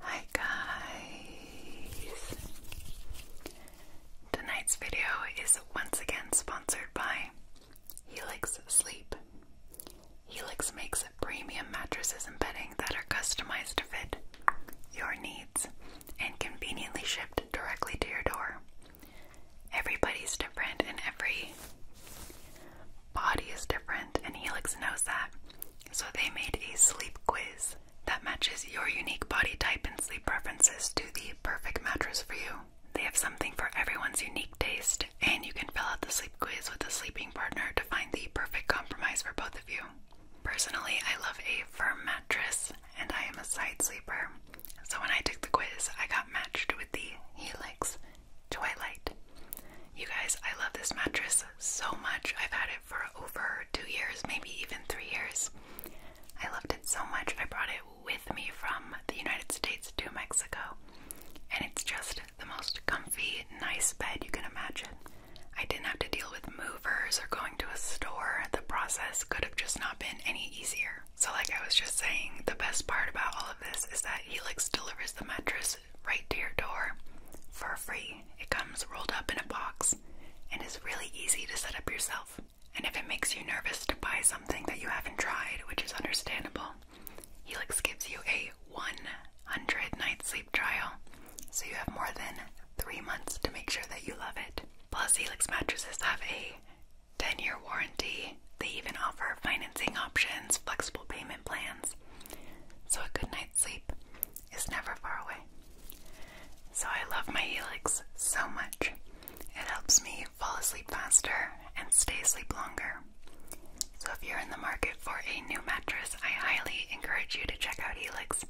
Hi guys! Tonight's video is once again sponsored by Helix Sleep. Helix makes premium mattresses and bedding that are customized to fit your needs and conveniently shipped directly to your door. Everybody's different and every body is different, and Helix knows that. So they made a sleep quiz that matches your unique body type and sleep preferences to the perfect mattress for you. They have something for everyone's unique taste, and you can fill out the sleep quiz with a sleeping partner to find the perfect compromise for both of you. Personally, I love a firm mattress, and I am a side sleeper. So when I took the quiz, I got matched with the Helix Twilight you guys, I love this mattress so much. I've had it for over two years, maybe even three years. I loved it so much. I brought it with me from the United States to Mexico. And it's just the most comfy, nice bed you can imagine. I didn't have to deal with movers or going to a store. The process could have just not been any easier. So, like I was just saying, the best part about all of this is that Helix delivers the mattress right to your door for free. It comes rolled up in a box and is really easy to set up yourself. And if it makes you nervous to buy something that you haven't tried, which is understandable, Helix gives you a 100 night sleep trial, so you have more than three months to make sure that you love it. Plus, Helix mattresses have a 10 year warranty. They even offer financing options, flexible payment plans, so a good night's sleep is never far away. So I love my Helix so much. It helps me fall asleep faster and stay asleep longer. So if you're in the market for a new mattress, I highly encourage you to check out Helix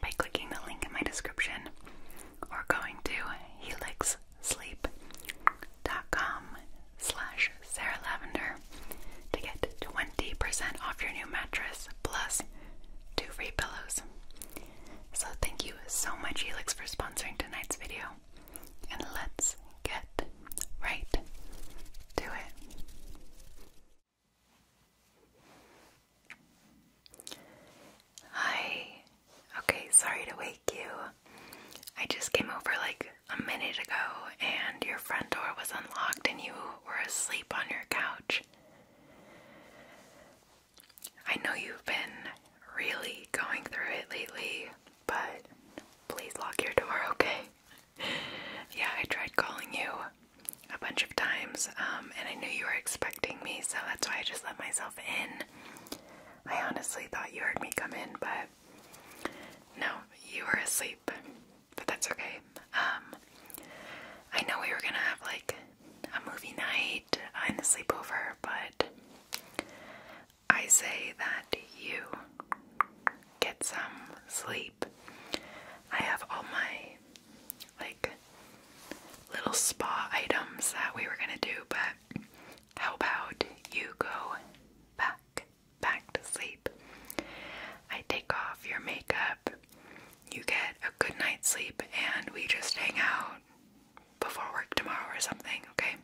by clicking the link in my description or going to helixsleep.com slash Sarah Lavender to get 20% off your new mattress plus two free pillows. So thank you so much Helix for sponsoring tonight's video. And let's get right to it. Hi. Okay, sorry to wake you. I just came over like a minute ago and your front door was unlocked and you were asleep on your couch. I know you've been really going through it lately, but please lock your door, okay? yeah, I tried calling you a bunch of times um, and I knew you were expecting me, so that's why I just let myself in. I honestly thought you heard me come in, but no, you were asleep, but that's okay. Um, I know we were gonna have like a movie night and a sleepover, but I say that you get some sleep. I have all my like little spa items that we were gonna do, but how about you go back back to sleep. I take off your makeup, you get a good night's sleep, and we just hang out before work tomorrow or something, okay?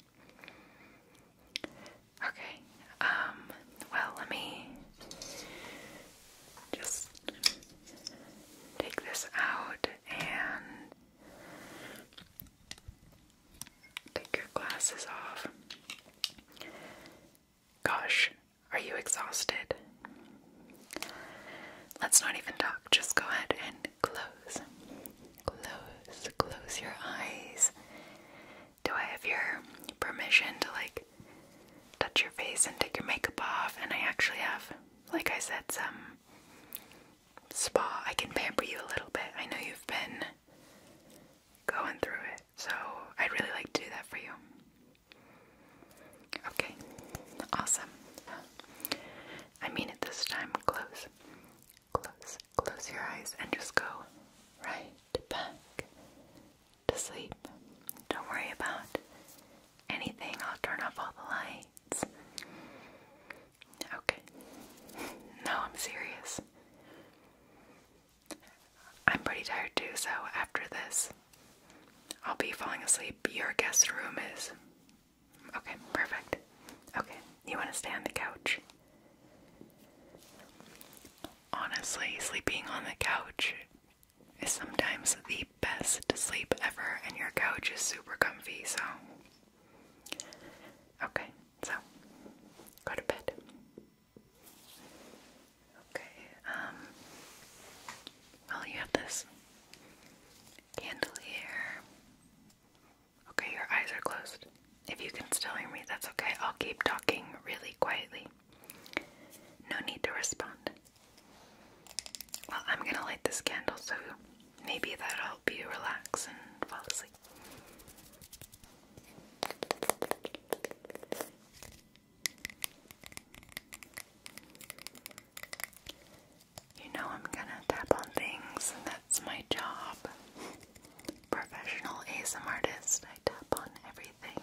Okay, um, well, let me just take this out and Take your glasses off. Gosh, are you exhausted? Let's not even talk. Just go ahead and close. Close. Close your eyes. Do I have your permission to like touch your face and take your makeup off? And I actually have, like I said, some spa. I can pamper you a little bit. I know you've been going through it. So I'd really like to do that for you. Okay, awesome. I mean it this time. Close, close, close your eyes and just go right back to sleep. Don't worry about anything. I'll turn off all the lights. Okay. No, I'm serious. I'm pretty tired too, so after this, I'll be falling asleep. Your guest room is. Okay, perfect. Okay, you want to stay on the couch? Honestly, sleeping on the couch is sometimes the best sleep ever, and your couch is super comfy, so. Okay, so go to bed. Okay, um, well, you have this candelier. Okay, your eyes are closed. If you can still hear me, that's okay. I'll keep talking really quietly. No need to respond. Well, I'm gonna light this candle so maybe that'll help you relax and fall asleep. You know, I'm gonna tap on things, and that's my job. Professional ASM artist, I tap on everything.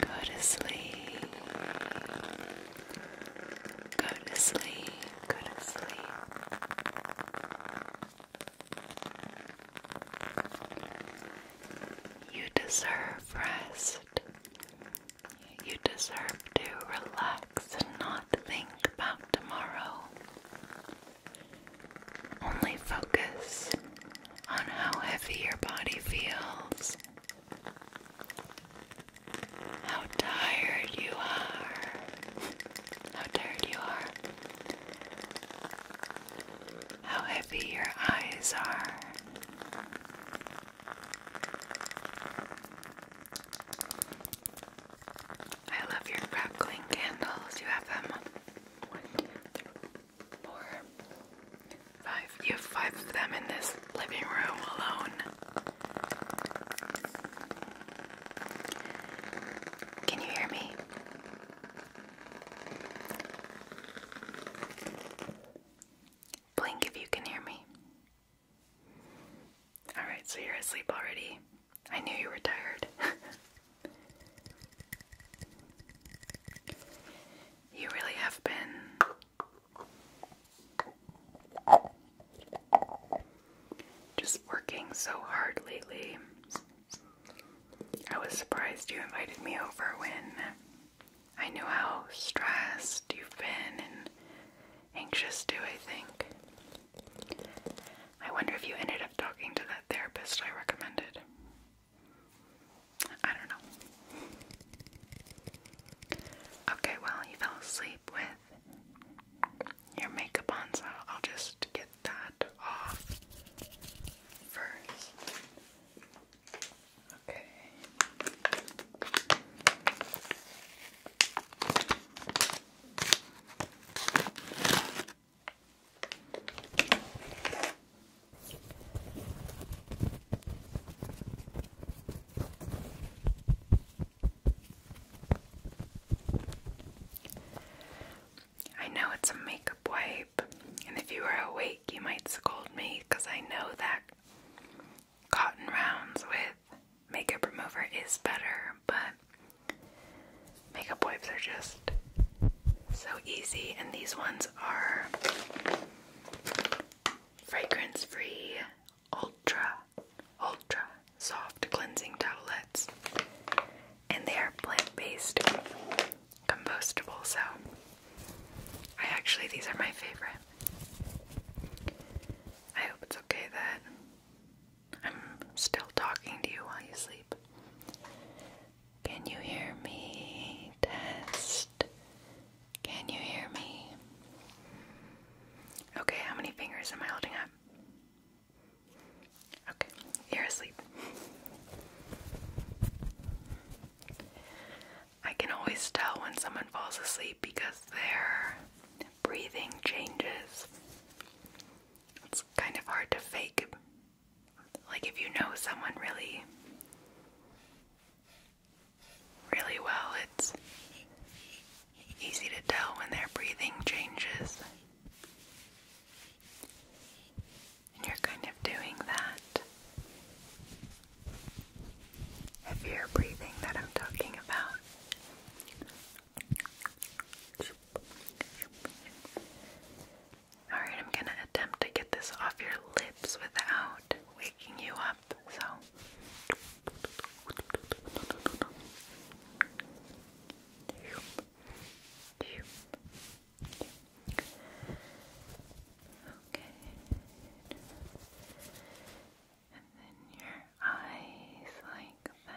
Go to sleep. Go to sleep. Go to sleep. You deserve rest. You deserve to relax and not think about tomorrow. Only focus on how heavy your body feels how tired you are. How tired you are. How heavy your eyes are. I love your crackling candles. You have them. One, two, three, four, Five. You have five of them in this living room alone. Can you hear me? Blink if you can hear me. Alright, so you're asleep already. I knew you were tired. you really have been just working so hard lately. I was surprised you invited me over when I knew how stressed you've been and anxious too, I think. I wonder if you ended up talking to that therapist I recommended. I don't know. Okay, well, you fell asleep with your makeup on, so I'll just get that off first. Okay. I know it's a makeup wipe, and if you were awake, you might scold me because I know that cotton rounds with makeup remover is better, but makeup wipes are just so easy, and these ones are fragrance free, ultra, ultra soft cleansing towelettes. And they are plant based, compostable, so I actually, these are my favorite. I hope it's okay that I'm still talking to you while you sleep. Can you hear me? Test. Can you hear me? Okay, how many fingers am I holding up? Okay, you're asleep. I can always tell when someone falls asleep because their breathing changes. It's kind of hard to fake. Like, if you know someone really really well. It's easy to tell when their breathing changes. And you're kind of doing that heavier breathing that I'm talking about. Alright, I'm gonna attempt to get this off your lips without waking you up, so okay and then your eyes like that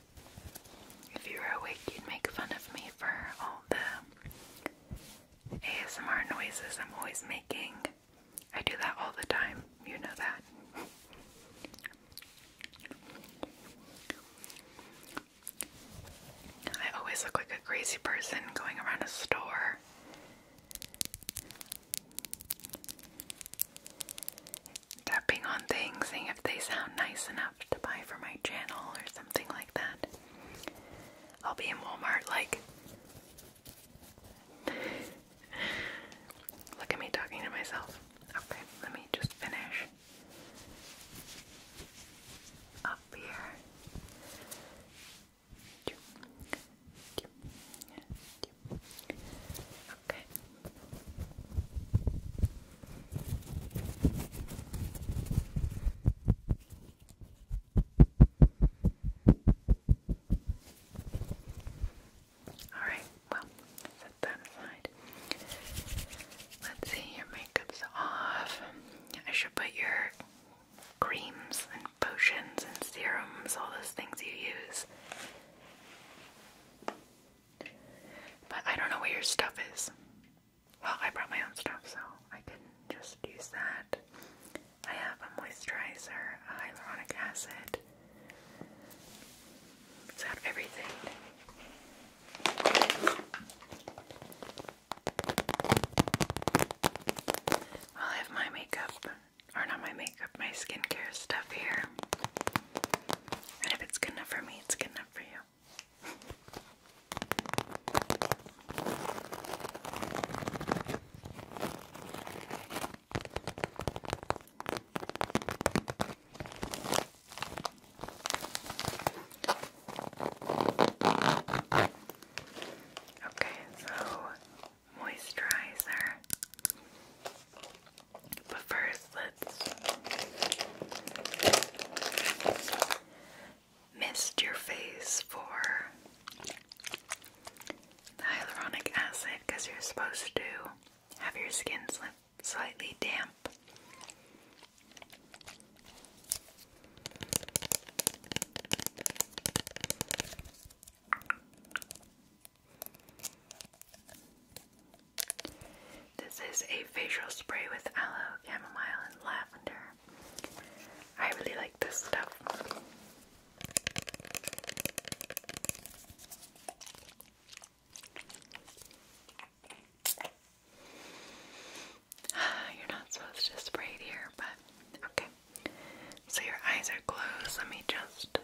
If you were awake, you'd make fun of me for all the ASMR noises I'm always making. I do that all the time, you know that. I always look like a crazy person going around a store tapping on things, seeing if they sound nice enough to buy for my channel or something like that. I'll be in Walmart like Look at me talking to myself. Okay, let me just finish up here you. Okay. Alright, well, set that aside. Let's see, your makeup's off. I should put your creams and potions and serums, all those things you use. But I don't know where your stuff is. Well, I brought my own stuff, so I can just use that. I have a moisturizer, a hyaluronic acid. It's out everything. I have my makeup, or not my makeup, my skincare stuff here. And if it's good enough for me, it's good enough for you. Okay, so moisturizer. But first, let's mist your face for hyaluronic acid because you're supposed to have your skin slightly damp. This is a facial spray with aloe, chamomile, and lavender. I really like this stuff. You're not supposed to spray it here, but okay. So your eyes are closed. Let me just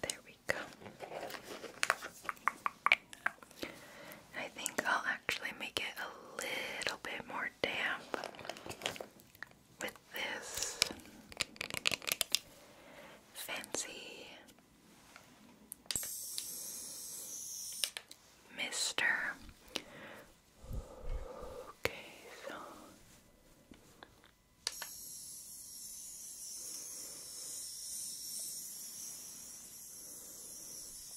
there we go. I think I'll actually make it a little bit more damp with this fancy mister. Okay, so.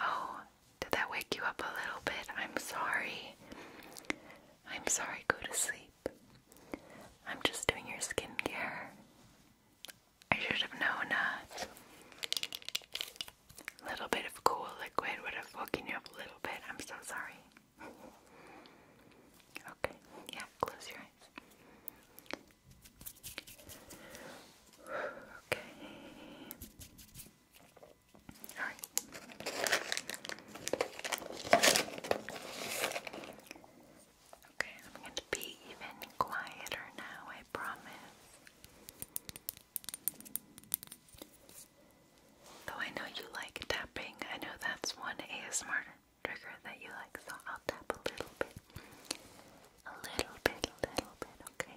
Oh, did that wake you up a little bit? I'm sorry. I'm sorry, go to sleep. I'm just doing your skincare. I should have known a uh, little bit of cool liquid would have woken you up a little bit. I'm so sorry. Okay, yeah, close your eyes. Okay. Okay, I'm going to be even quieter now, I promise. Though I know you like tapping, I know that's one ASMR trigger that you like, so I'll tap a little bit. A little bit, little bit, okay?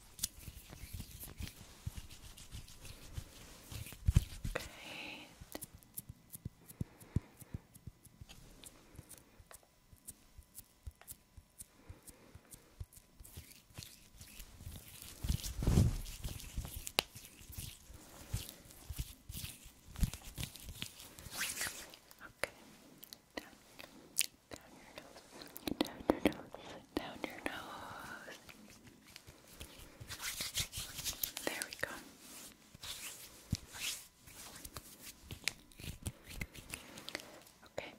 Great. Okay. down your nose. Down your nose. Down your nose. There we go. Okay.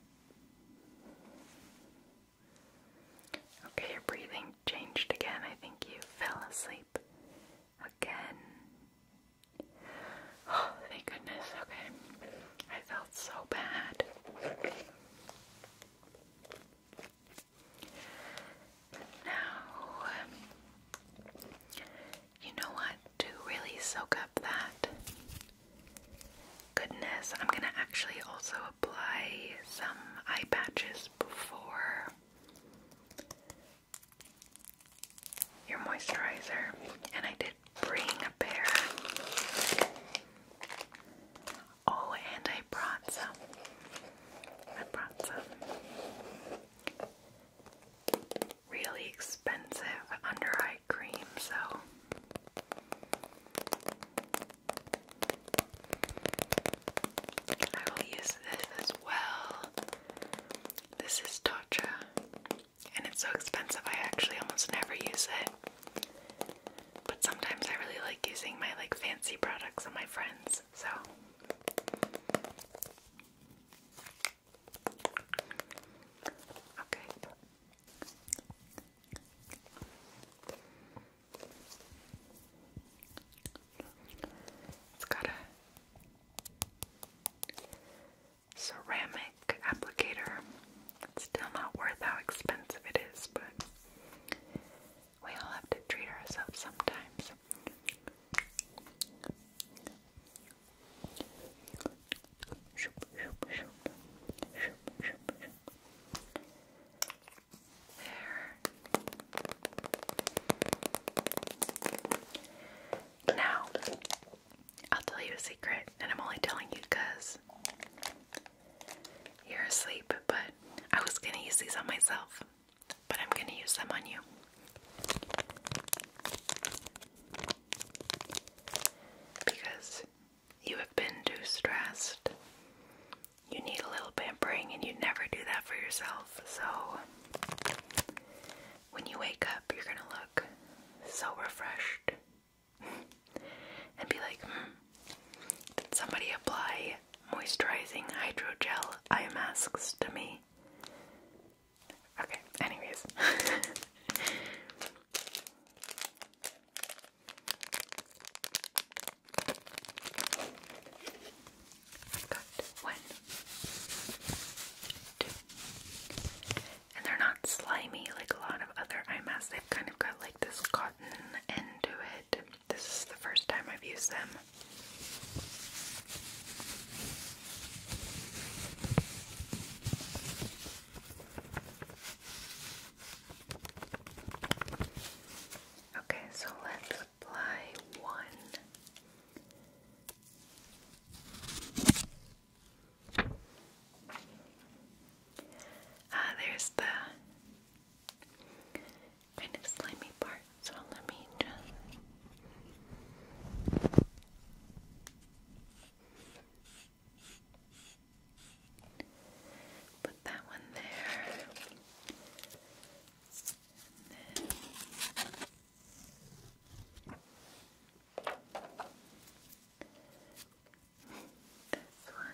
Okay, your breathing changed again. I think you fell asleep again. Oh, thank goodness. Okay. I felt so bad. Now, you know what? To really soak up that goodness, I'm gonna actually also apply some eye patches before your moisturizer. And I did bring a pair Oh, and I brought some. I brought some really expensive under eye cream, so I will use this as well. This is Tatcha, and it's so expensive I actually almost never use it. But sometimes I really like using my like fancy products on my friends. So Okay. It's got a ceramic applicator it's still not worth how expensive it is, but we all have to treat ourselves sometimes. There. Now, I'll tell you a secret, and I'm only telling you because you're asleep, but I was gonna use these on myself, but I'm gonna use them on you. Because you have been too stressed. You need a little pampering, and you never do that for yourself. So, when you wake up, you're gonna look so refreshed and be like, hmm, did somebody apply moisturizing hydrogel eye masks to me? Okay, anyways. I've got one, two, and they're not slimy like a lot of other eye masks. They've kind of got like this into it. This is the first time I've used them. Okay, so let's apply one. Ah, there's the kind of slimy part, so let me just put that one there this one.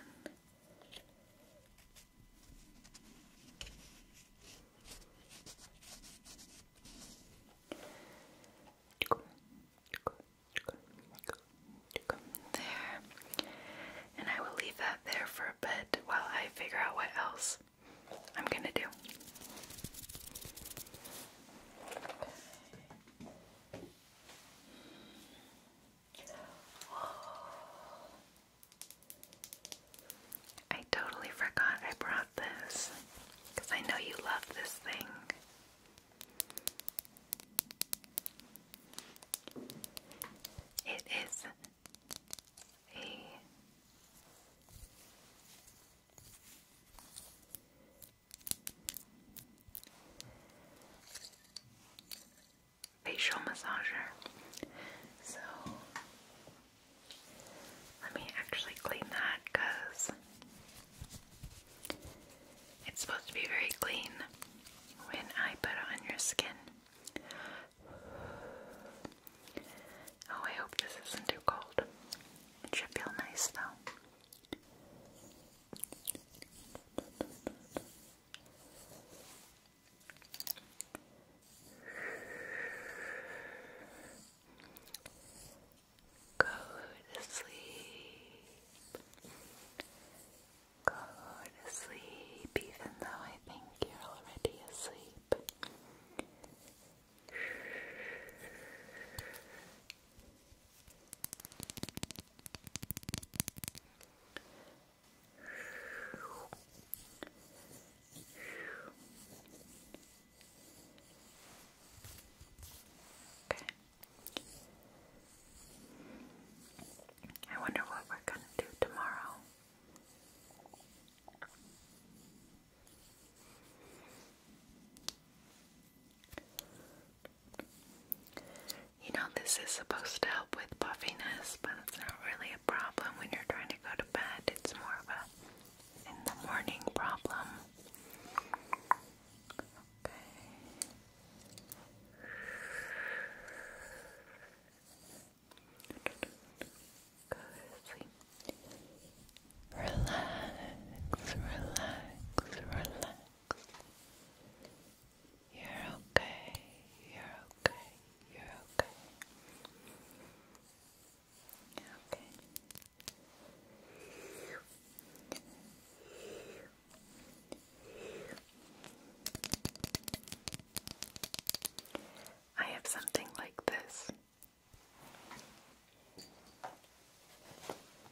There. And I will leave that there for a bit while I figure out what else I'm going to do. I totally forgot I brought this because I know you love this thing. It is a facial massager. So let me actually clean that because it's supposed to be very clean when I put it on your skin. Oh, I hope this isn't too cold. It should feel nice though. Go to sleep. Go to sleep, even though I think you're already asleep. Okay. I wonder what we're going to do tomorrow. You know, this is supposed to help with puffiness, but it's not really a problem when you're trying to go to bed. It's more of a in the morning problem. Okay. Relax, relax, relax. You're okay. You're okay. You're okay. You're okay. I have something like this.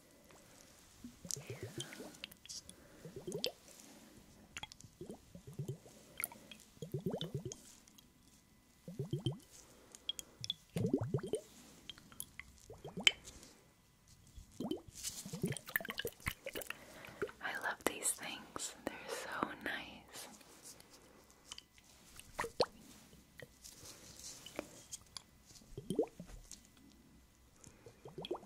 I love these things, they're so nice. Little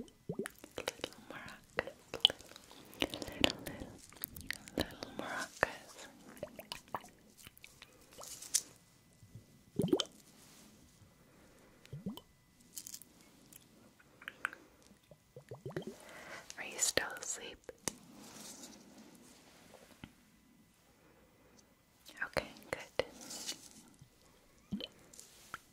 maracas little maracas, little, little, little, little Are you still asleep? Okay, good.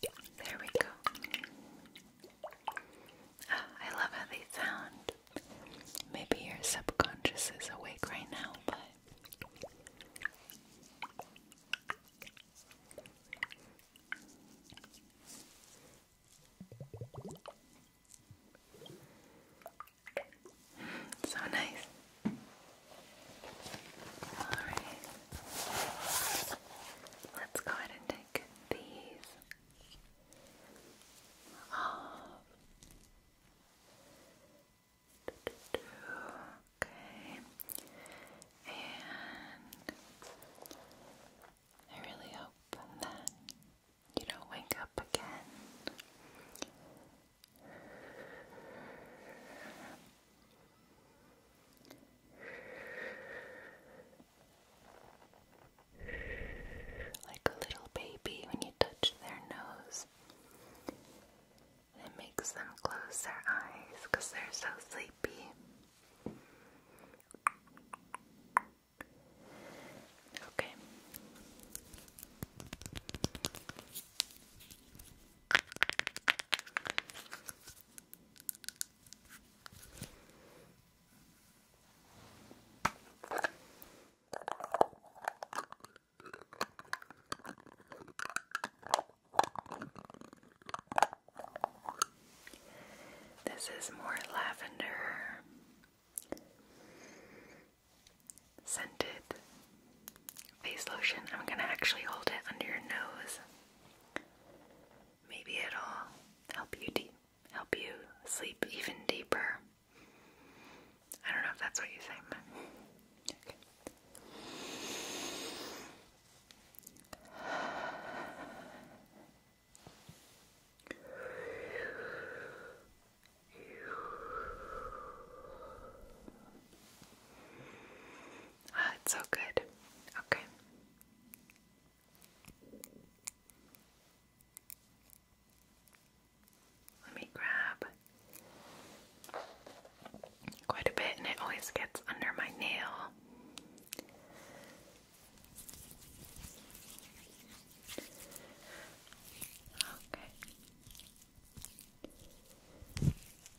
There we go. Ah, I love how they sound. Maybe your subconscious is awake right now, but. So nice. All right. Let's go ahead and take these off. Okay. And I really hope that you don't wake up again. Like a little baby when you touch their nose. It makes them close their eyes because they're so sleepy. Okay. This is more lavender scented face lotion. I'm going to actually hold it under your nose Maybe it'll help you deep, help you sleep even deeper. I don't know if that's what you say, ah, okay. it's so good. Okay. Let me grab quite a bit, and it always gets under my nail. Okay.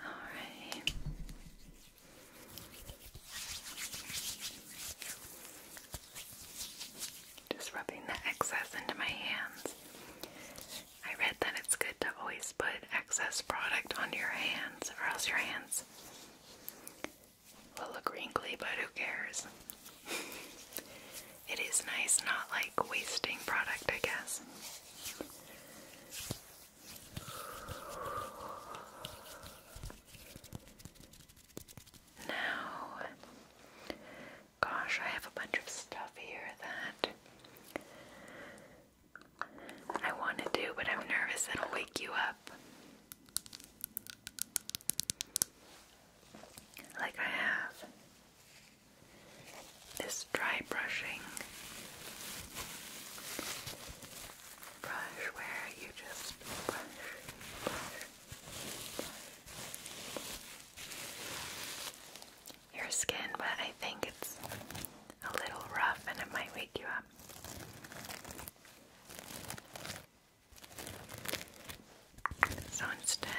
Alrighty. Just rubbing the excess into my hands. I read that it's good to always put excess product on your hands, or else your hands will look wrinkly, but who cares? it is nice not like wasting product, I guess. Now, gosh, I have a bunch of stuff here that I want to do, but I'm nervous it'll wake you up. Like I have this dry brushing brush where you just brush, your skin, but I think it's a little rough and it might wake you up. So instead,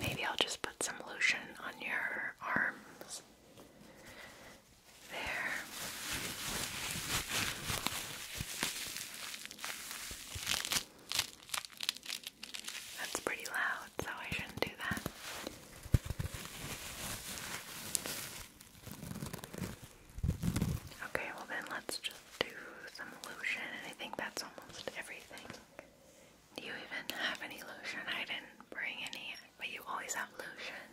maybe I'll just put some lotion on your arms. There. That's pretty loud, so I shouldn't do that. Okay, well then let's just do some lotion, and I think that's almost everything. Do you even have any lotion? I didn't bring any, but you always have lotion.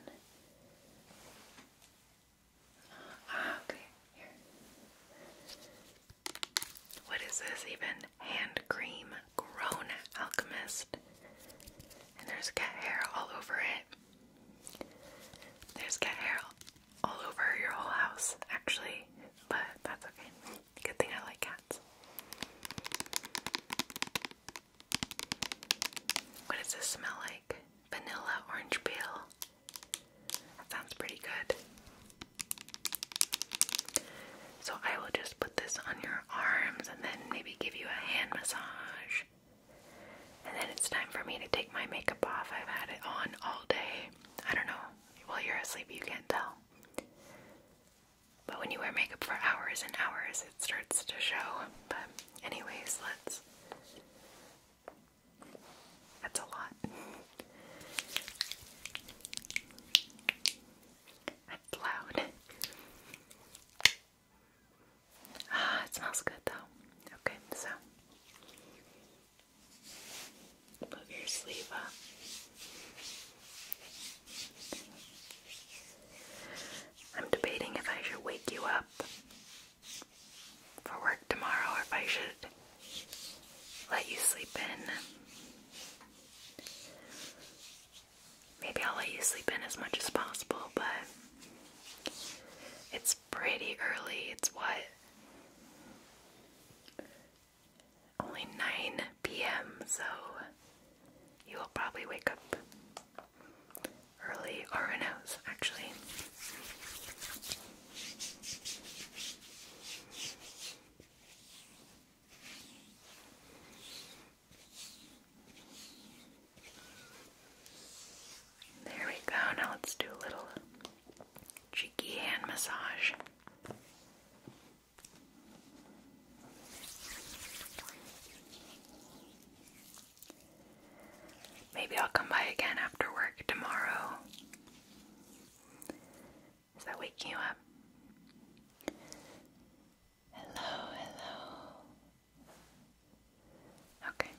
Ah, okay, here. What is this even? Hand cream, Grown Alchemist. And there's cat hair all over it. There's cat hair all over your whole house, actually, but that's okay. Good thing I like cats. What does this smell like? Vanilla orange peel. That sounds pretty good. So I will just put this on your arms and then maybe give you a hand massage. And then it's time for me to take my makeup off. I've had it on all day. I don't know. While you're asleep, you can't tell. But when you wear makeup for hours and hours, it starts to show. But, anyways, let's. That's a lot. That's loud. Ah, it smells good though. Okay, so move your sleeve I'm debating if I should wake you up for work tomorrow or if I should let you sleep in. Maybe I'll let you sleep in as much as possible, but it's pretty early. It's what? Only 9 p.m., so you will probably wake up early, or who actually. There we go. Now let's do a little cheeky hand massage. Maybe I'll come by again after work tomorrow. Is that waking you up? Hello, hello. Okay.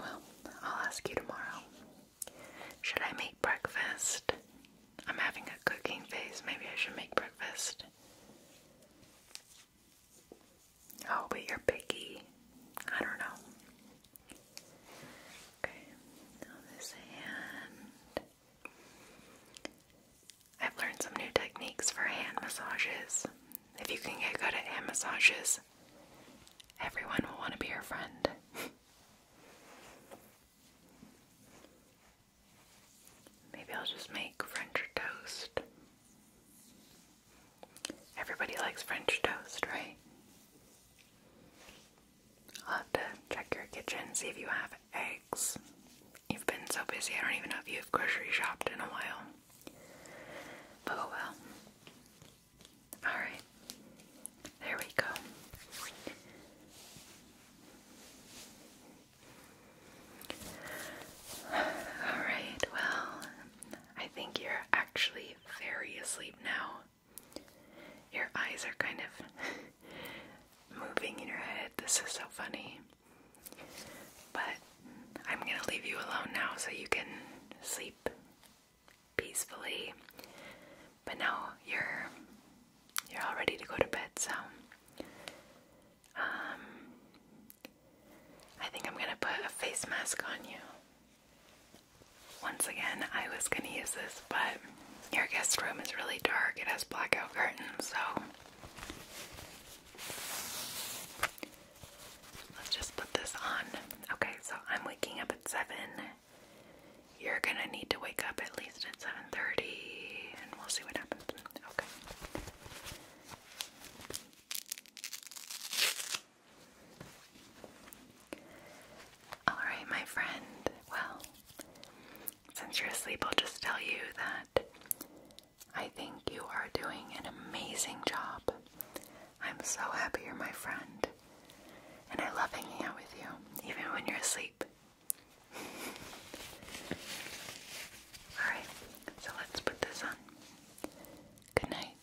Well, I'll ask you tomorrow. Should I make breakfast? I'm having a cooking phase. Maybe I should make breakfast. Oh, but you're picky. I don't know. Okay, now this hand. I've learned some new techniques for hand massages. If you can get good at hand massages, everyone will want to be your friend. Maybe I'll just make French toast. Everybody likes French toast, right? I'll have to check your kitchen, see if you have it eggs. You've been so busy, I don't even know if you've grocery shopped in a while. But oh well. Alright. There we go. Alright, well, I think you're actually very asleep now. Your eyes are kind of moving in your head. This is so funny. But I'm going to leave you alone now so you can sleep peacefully. But now you're you're all ready to go to bed, so um I think I'm going to put a face mask on you. Once again, I was going to use this, but your guest room is really dark. It has blackout curtains, so Let's just put this on. Okay, so I'm waking up at 7. You're going to need to wake up at least at 7:30 and we'll see what happens. Okay. All right, my friend. Well, since you're asleep, I'll just tell you that I think you are doing an amazing job. I'm so happy you're my friend, and I love hanging out with you, even when you're asleep. Alright, so let's put this on. Good night.